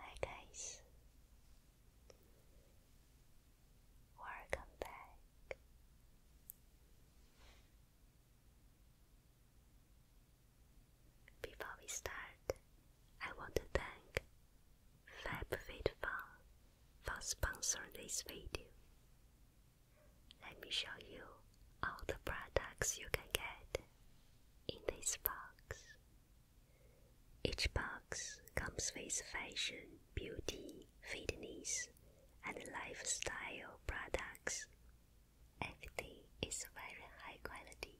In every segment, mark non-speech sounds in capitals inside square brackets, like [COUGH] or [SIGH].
Hi guys, welcome back. Before we start, I want to thank FabFitFun for sponsoring this video. Let me show you all the products you can get in this box. Each box comes with fashion, beauty, fitness, and lifestyle products. Everything is very high quality.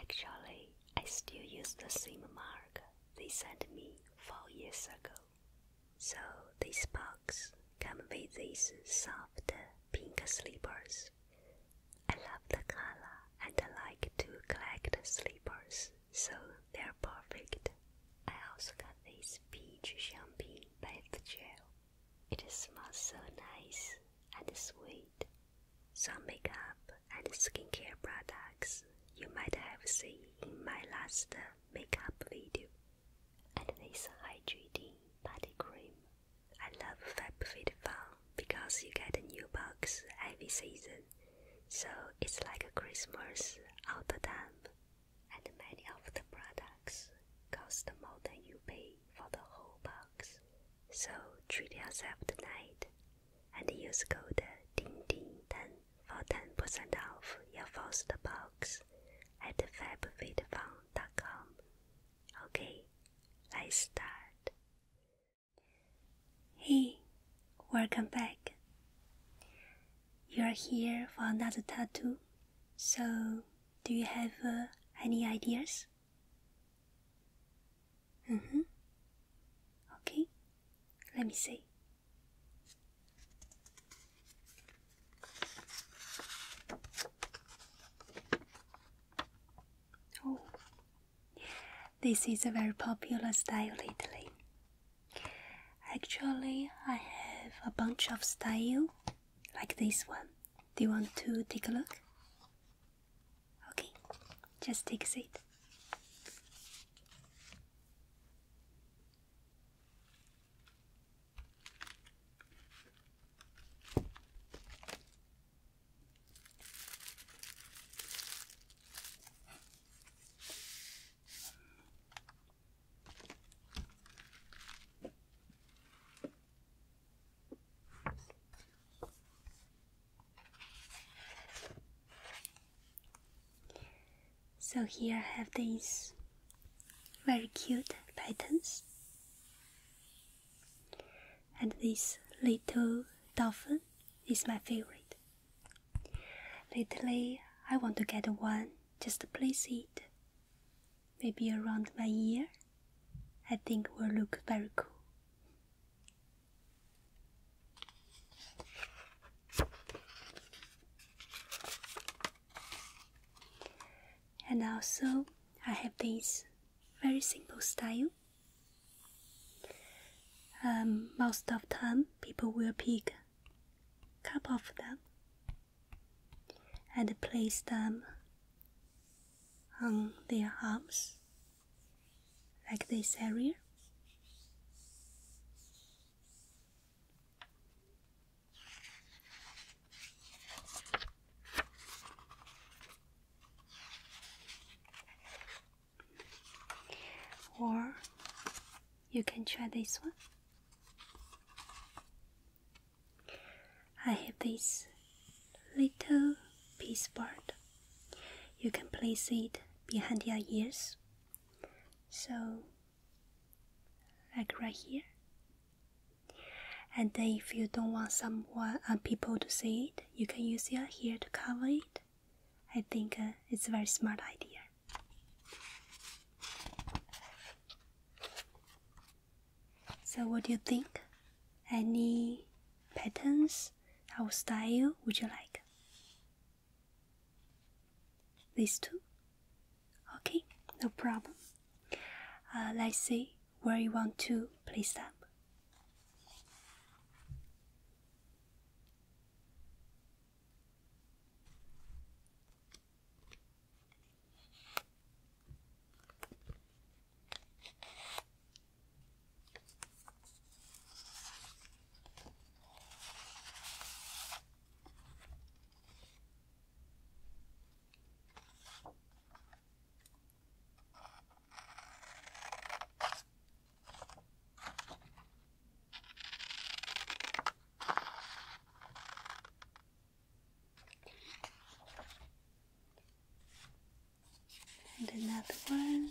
Actually, I still use the same mark they sent me four years ago. So this box comes with these soft pink slippers. I love the color and I like to collect slippers, so they're perfect. I also got this peach champagne bath gel. It smells so nice and sweet. Some makeup and skincare products you might have seen in my last makeup video. And this hydrating body cream I love Fab because you get a new box every season, so it's like a Christmas all the time. And many of the products cost more than you pay for the whole box. So treat yourself tonight and use code DINGDING10 for 10% off your first box at fabfitfun.com. Okay, I start. Hey, welcome back. You're here for another tattoo, so do you have uh, any ideas? Mm hmm. Okay, let me see. Oh, this is a very popular style lately. Actually, I have a bunch of style like this one. Do you want to take a look? Okay, just take a seat. So here I have these very cute pythons and this little dolphin is my favorite. Lately, I want to get one just to place it. Maybe around my ear. I think will look very cool. And also, I have this very simple style. Um, most of time, people will pick couple of them and place them on their arms, like this area. Or you can try this one. I have this little piece part. You can place it behind your ears. So like right here. And then if you don't want someone uh, people to see it, you can use your hair to cover it. I think uh, it's a very smart idea. So what do you think? Any patterns or style would you like? These two? Okay, no problem. Uh, let's see where you want to place them. And another one.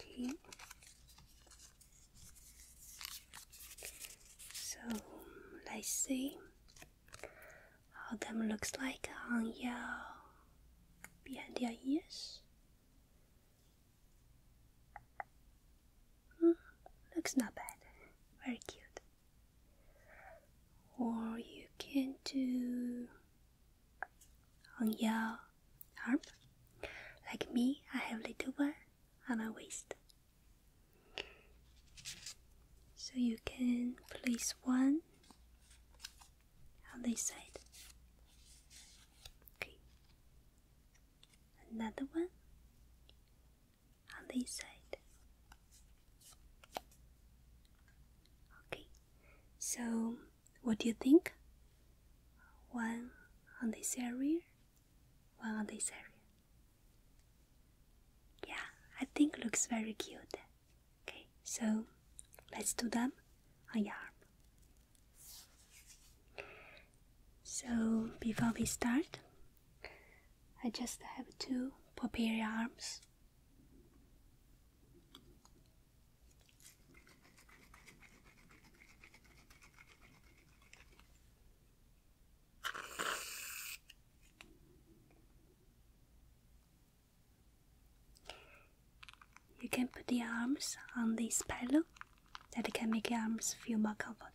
Okay. So let's see how them looks like on your behind your ears. Hmm, looks not bad. Very cute. Or you can do on your arm. Like me, I have little one on my waist. So you can place one on this side. Okay. Another one on this side. Okay. So what do you think? One on this area, one on this area. Yeah, I think looks very cute. Okay, so let's do them on your arm. So before we start, I just have two prepare arms. You can put the arms on this pillow that can make your arms feel more comfortable.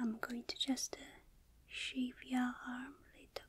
I'm going to just uh, shave your arm a little.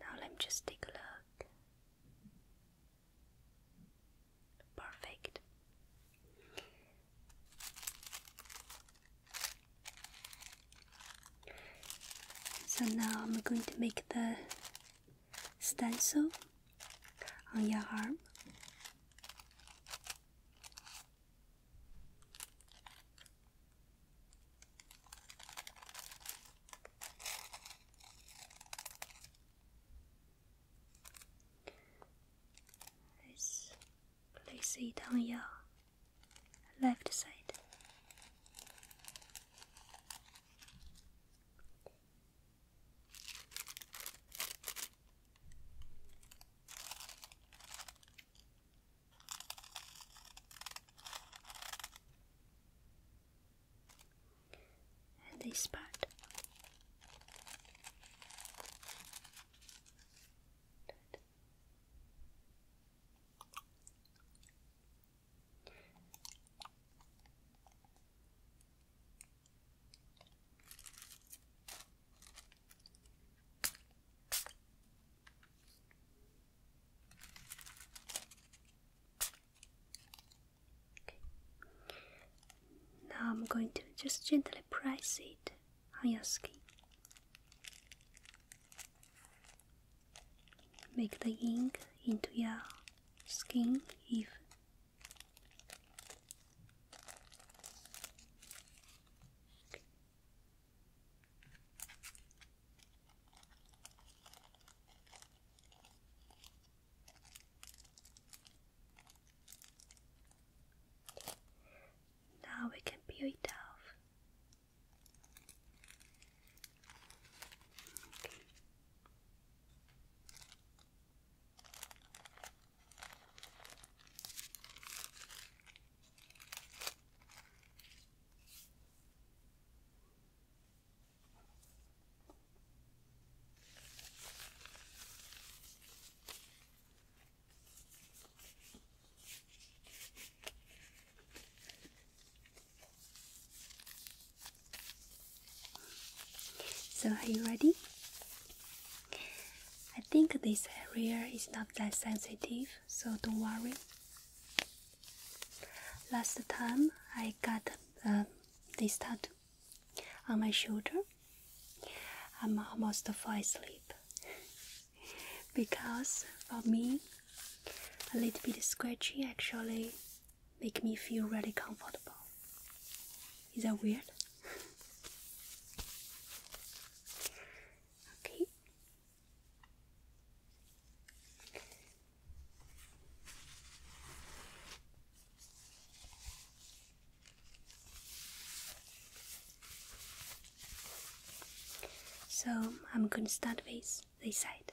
Now let me just take a look. Perfect. So now I'm going to make the stencil on your arm. Let's place it on your left side. And this part. Now I'm going to just gently press it on your skin. Make the ink into your skin even. Now we can peel it off. So, are you ready? I think this area is not that sensitive, so don't worry. Last time I got uh, this tattoo on my shoulder, I'm almost fall asleep [LAUGHS] because for me, a little bit scratchy actually make me feel really comfortable. Is that weird? okay. So I'm going to start with this side.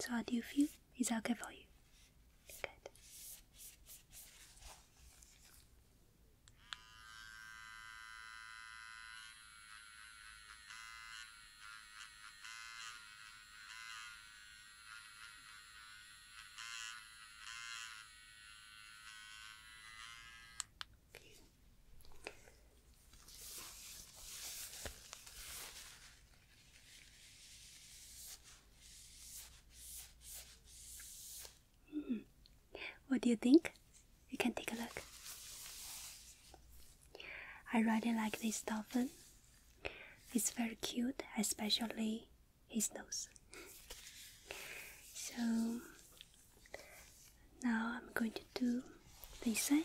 So how do you feel? Is that okay for you? Good. Okay. Hmm. What do you think? We can take a look. I really like this dolphin. It's very cute, especially his nose. so now I'm going to do this side.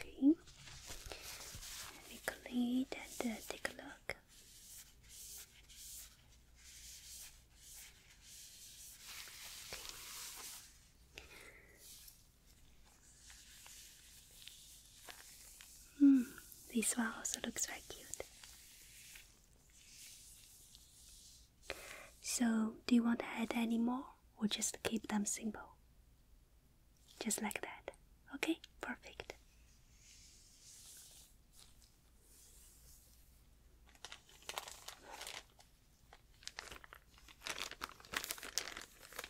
Okay, let me clean it and uh, take a look. Okay. Hmm, this one also looks very cute. So, do you want to add any more or just keep them simple? Just like that. Okay, perfect.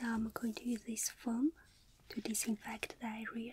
Now I'm going to use this foam to disinfect the area.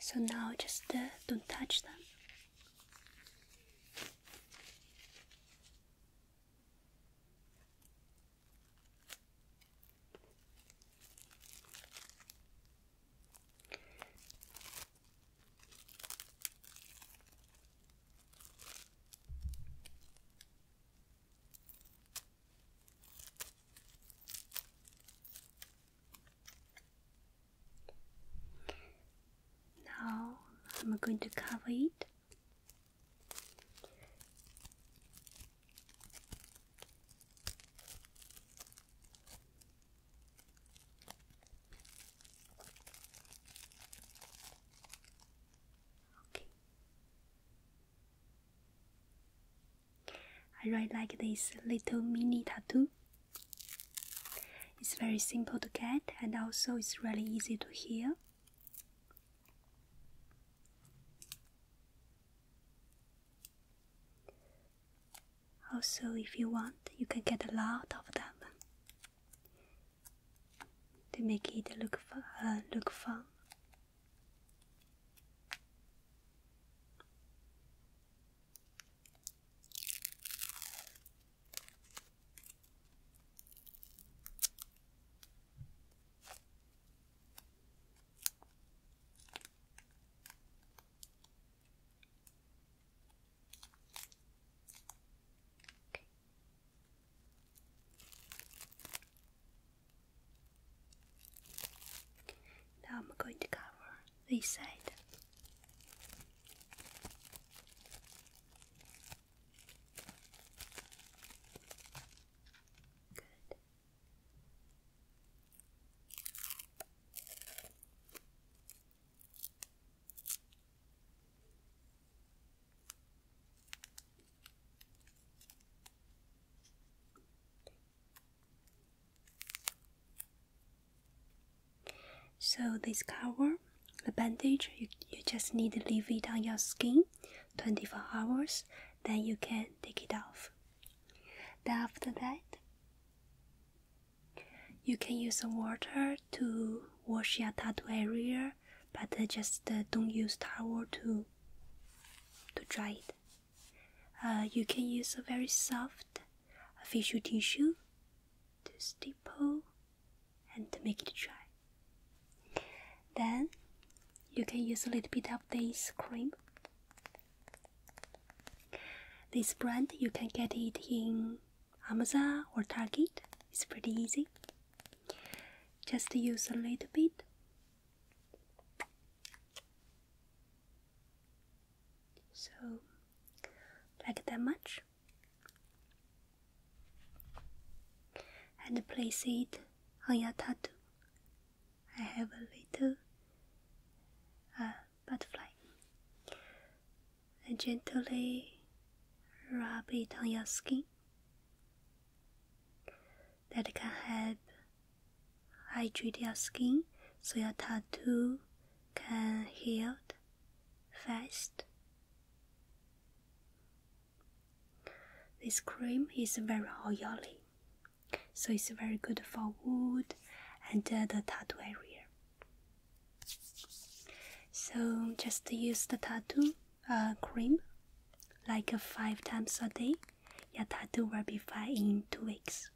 So now just uh, don't touch them. Now I'm going to cover it. I really like this little mini tattoo. It's very simple to get and also it's really easy to heal. Also, if you want, you can get a lot of them to make it look fun, look fun. Okay. Now I'm going to cover this side. Good. So this cover, the bandage, you, you just need to leave it on your skin 24 hours, then you can take it off. Then after that, you can use the water to Wash your tattoo area, but uh, just uh, don't use towel to to dry it. Uh, you can use a very soft facial tissue to stipple and make it dry. Then you can use a little bit of this cream. This brand you can get it in Amazon or Target. is pretty easy. Just use a little bit. So, like that much. And place it on your tattoo. I have a little uh, butterfly and gently rub it on your skin. That can help hydrate your skin so your tattoo can heal fast. This cream is very oily, so it's very good for wood and the tattoo area. So just use the tattoo uh, cream like uh, five times a day. Your tattoo will be fine in two weeks.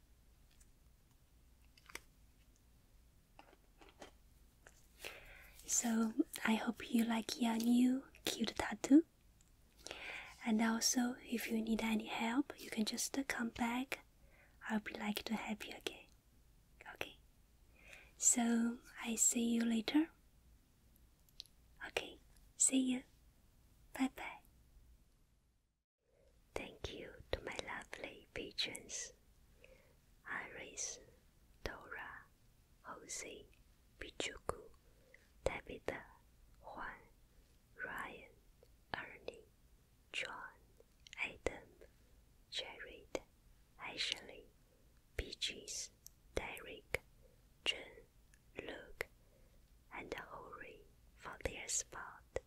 So I hope you like your new cute tattoo. And also, if you need any help, you can just come back. I'll be like to help you again. Okay. So I see you later. Okay. See you. Bye bye. Thank you to my lovely patrons Iris, Dora, Jose, Pichuku, Tabitha, Juan, Ryan, Ernie, John, Adam, Jared, Ashley, Peaches, Derek, Jen, Luke, and Hori for their spot.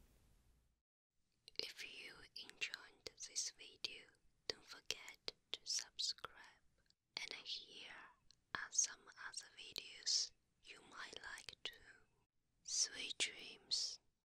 If you enjoyed this video, don't forget to subscribe. And here are some other videos you might like too. Sweet dreams.